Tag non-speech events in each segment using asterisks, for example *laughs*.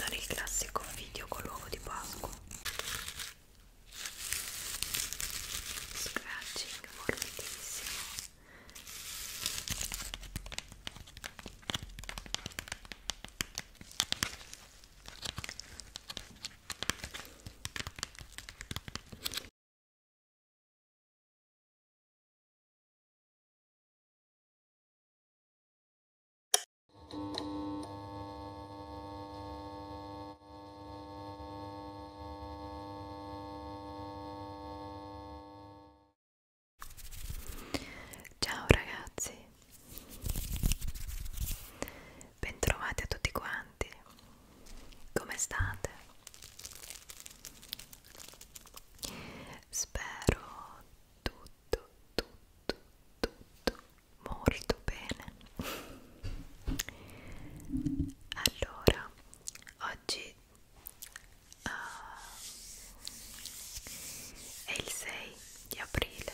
non il classico video con l'uovo di Pasqua scratching morbidissimo Ciao ragazzi, bentrovati a tutti quanti, come state? Spero tutti tutto, tutto, tutto molto bene. Allora, oggi uh, è il 6 di aprile.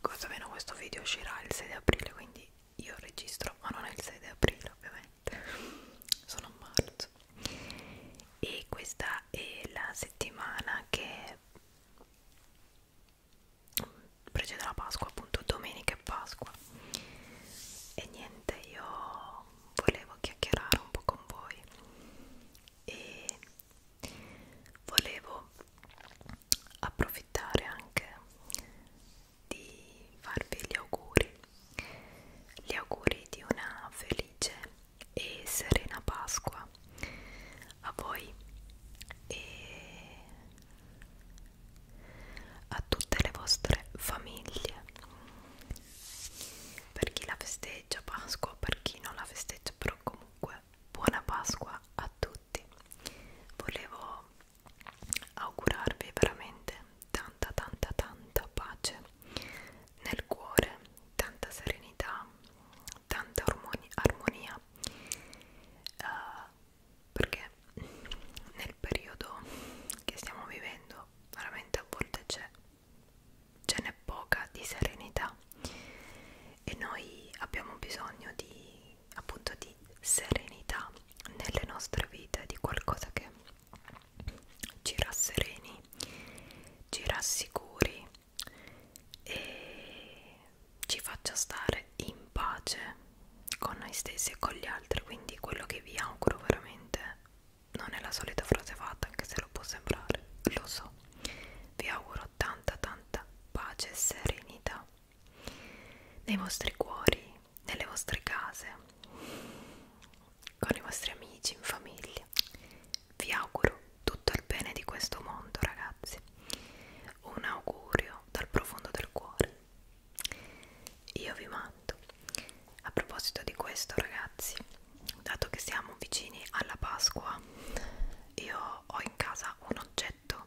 Quanto meno questo video uscirà il 6 di aprile, quindi io registro, ma non è il 6 di aprile ovviamente, sono a marzo. E questa e la settimana che precede la Pasqua appunto domenica e Pasqua e niente io volevo chiacchierare un po' con voi e volevo approfittare anche di farvi gli auguri gli auguri di una felice e serena Pasqua a voi e a tutte le vostre famiglie per chi la festeggia Pasqua, per chi non la festeggia però comunque buona Pasqua a tutti volevo augurarvi veramente tanta tanta tanta pace nel cuore tanta serenità, tanta armonia, uh, perché nel periodo che stiamo vivendo veramente a volte c'è, ce n'è poca di serenità e noi abbiamo bisogno di appunto di serenità nelle nostre vite, di qualcosa che ci rassereni, ci rassicuri e ci faccia stare in pace con noi stessi e con gli altri. Quindi quello che vi auguro veramente non è la solita frase fatta, anche se lo può sembrare, lo so. Vi auguro tanta tanta pace e serenità nei vostri cuori, nelle vostre case con i vostri amici, in famiglia. Vi auguro tutto il bene di questo mondo, ragazzi. Un augurio dal profondo del cuore. Io vi mando. A proposito di questo, ragazzi, dato che siamo vicini alla Pasqua, io ho in casa un oggetto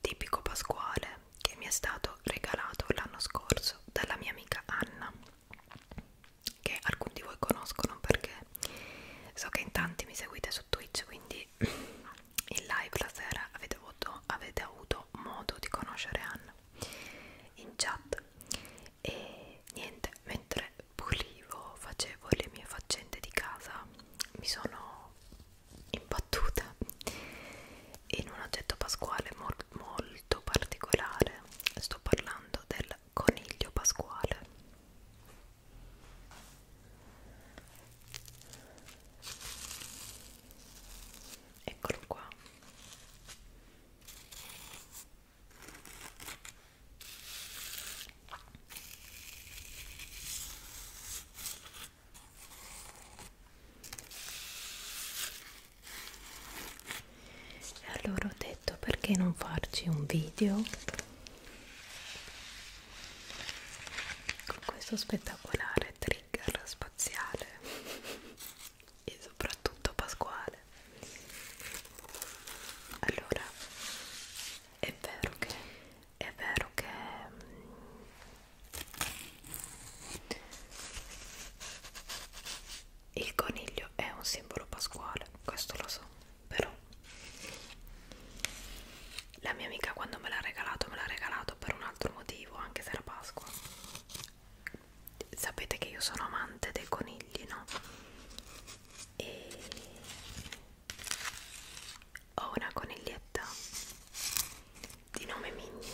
tipico pasquale che mi è stato regalato l'anno scorso dalla mia amica Anna che alcuni di voi conoscono perché so che in tanti mi seguite su Twitch quindi in live la sera avete avuto, avete avuto modo di conoscere Anna in chat e niente mentre pulivo facevo le mie faccende di casa mi sono imbattuta in un oggetto pasquale molto, molto molto particolare sto parlando del coniglio pasquale eccolo qua e allora ho detto perché non farci un video con questo spettacolare trigger spaziale *laughs* e soprattutto pasquale allora è vero che è vero che mm, il coniglio è un simbolo pasquale, questo lo so, però la mia amica quando me l'ha regalato me l'ha regalato per un altro motivo, anche se era Pasqua. Sapete che io sono amante dei conigli, no? E ho una coniglietta di nome Minnie.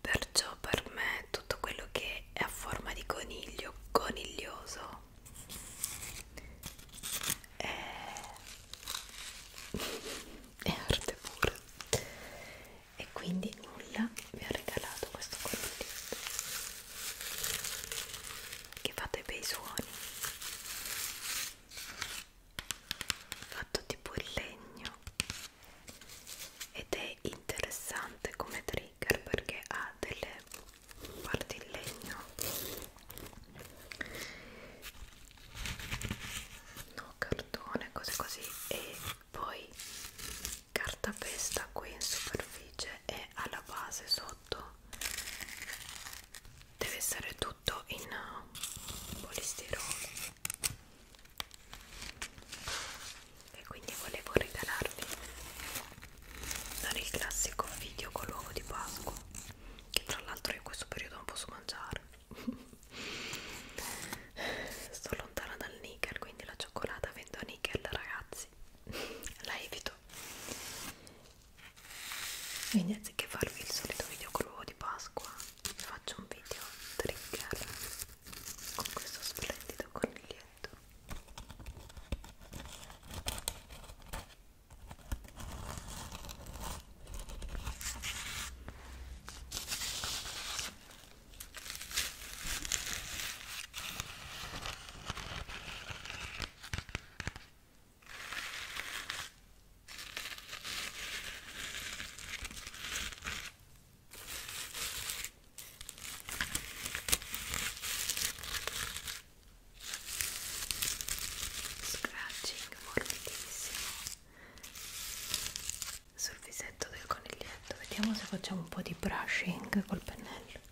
Perciò per me tutto quello che è a forma di coniglio, coniglioso, è, è arte pura. E quindi nulla mi ha regalato questo coniglio che fa dei bei suoni fatto tipo in legno ed è interessante come trigger perché ha delle parti in legno no cartone cose così e poi carta pesta qui in superficie e alla base sono prodotto deve essere tutto in uh, polistirolo e quindi volevo regalarvi non il classico video con l'uovo di Pasqua che tra l'altro in questo periodo non posso mangiare *laughs* sto lontana dal nickel quindi la cioccolata vendo a nickel ragazzi la evito vestito quindi anziché farvi il solito video con l'uovo di Pasqua vi faccio un video trigger con questo splendido coniglietto Scratching morbidissimo sul visetto del coniglietto. Vediamo se facciamo un po' di brushing col pennello.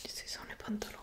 Questi sono i pantaloni.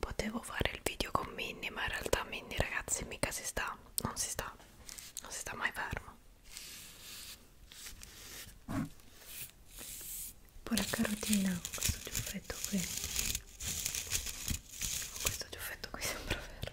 Potevo fare il video con Minnie, ma in realtà Minnie ragazzi mica si sta, non si sta, non si sta mai fermo. Pura carotina, questo giuffetto qui questo giuffetto qui sembra vero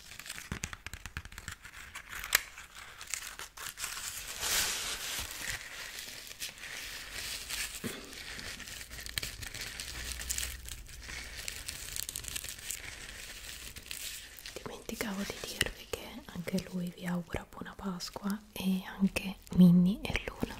Dimenticavo di dirvi che anche lui vi augura buona Pasqua e anche Minnie e Luna.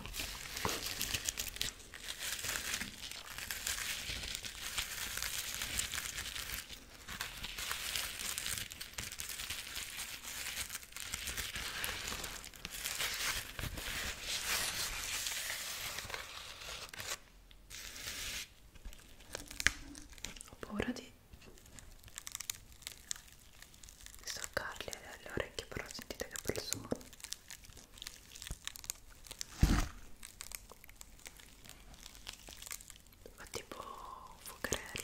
Ho paura di staccarli dalle orecchie, però sentite che bel suono ma tipo fuocherello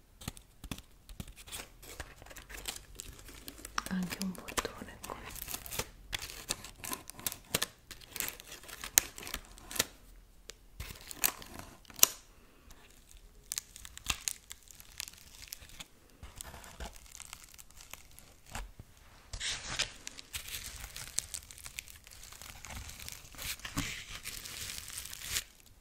anche un bottone qui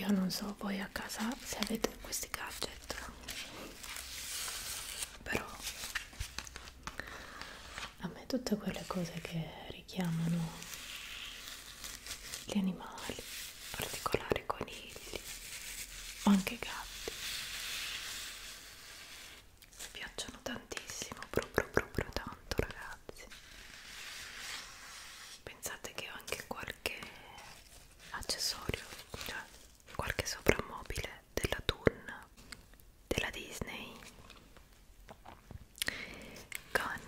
Io non so voi a casa se avete questi gadget, però a me tutte quelle cose che richiamano gli animali, in particolare conigli o anche gatti, mi piacciono tantissimo, proprio proprio tanto ragazzi. Pensate che ho anche qualche accessorio, cioè qualche soprammobile della Tun della Disney con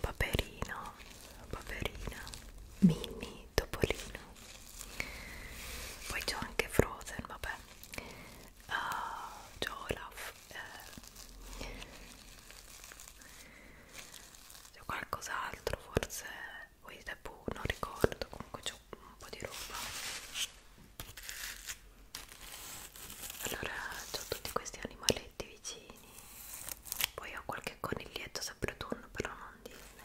Paperino, Paperina, Mini, Topolino poi c'ho anche Frozen, vabbè uh, c'ho Olaf eh. c'è qualcos'altro forse, poi non ricordo, comunque c'ho messo un po' di roba allora ho tutti questi animaletti vicini poi ho qualche coniglietto sempre autunno però non Disney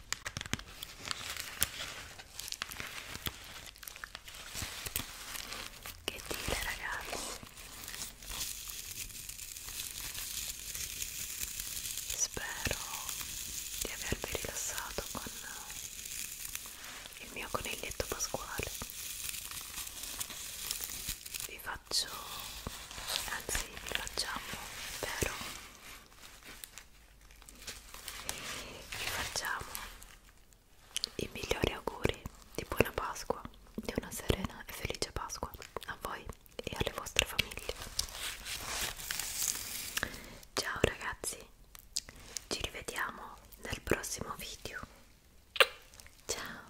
Che dire ragazzi? Spero di avervi rilassato con il mio coniglietto pasquale. Vi faccio, anzi vi facciamo, spero vi facciamo i migliori auguri di buona Pasqua, di una serena e felice Pasqua a voi e alle vostre famiglie. Ciao ragazzi, ci rivediamo nel prossimo video. Ciao!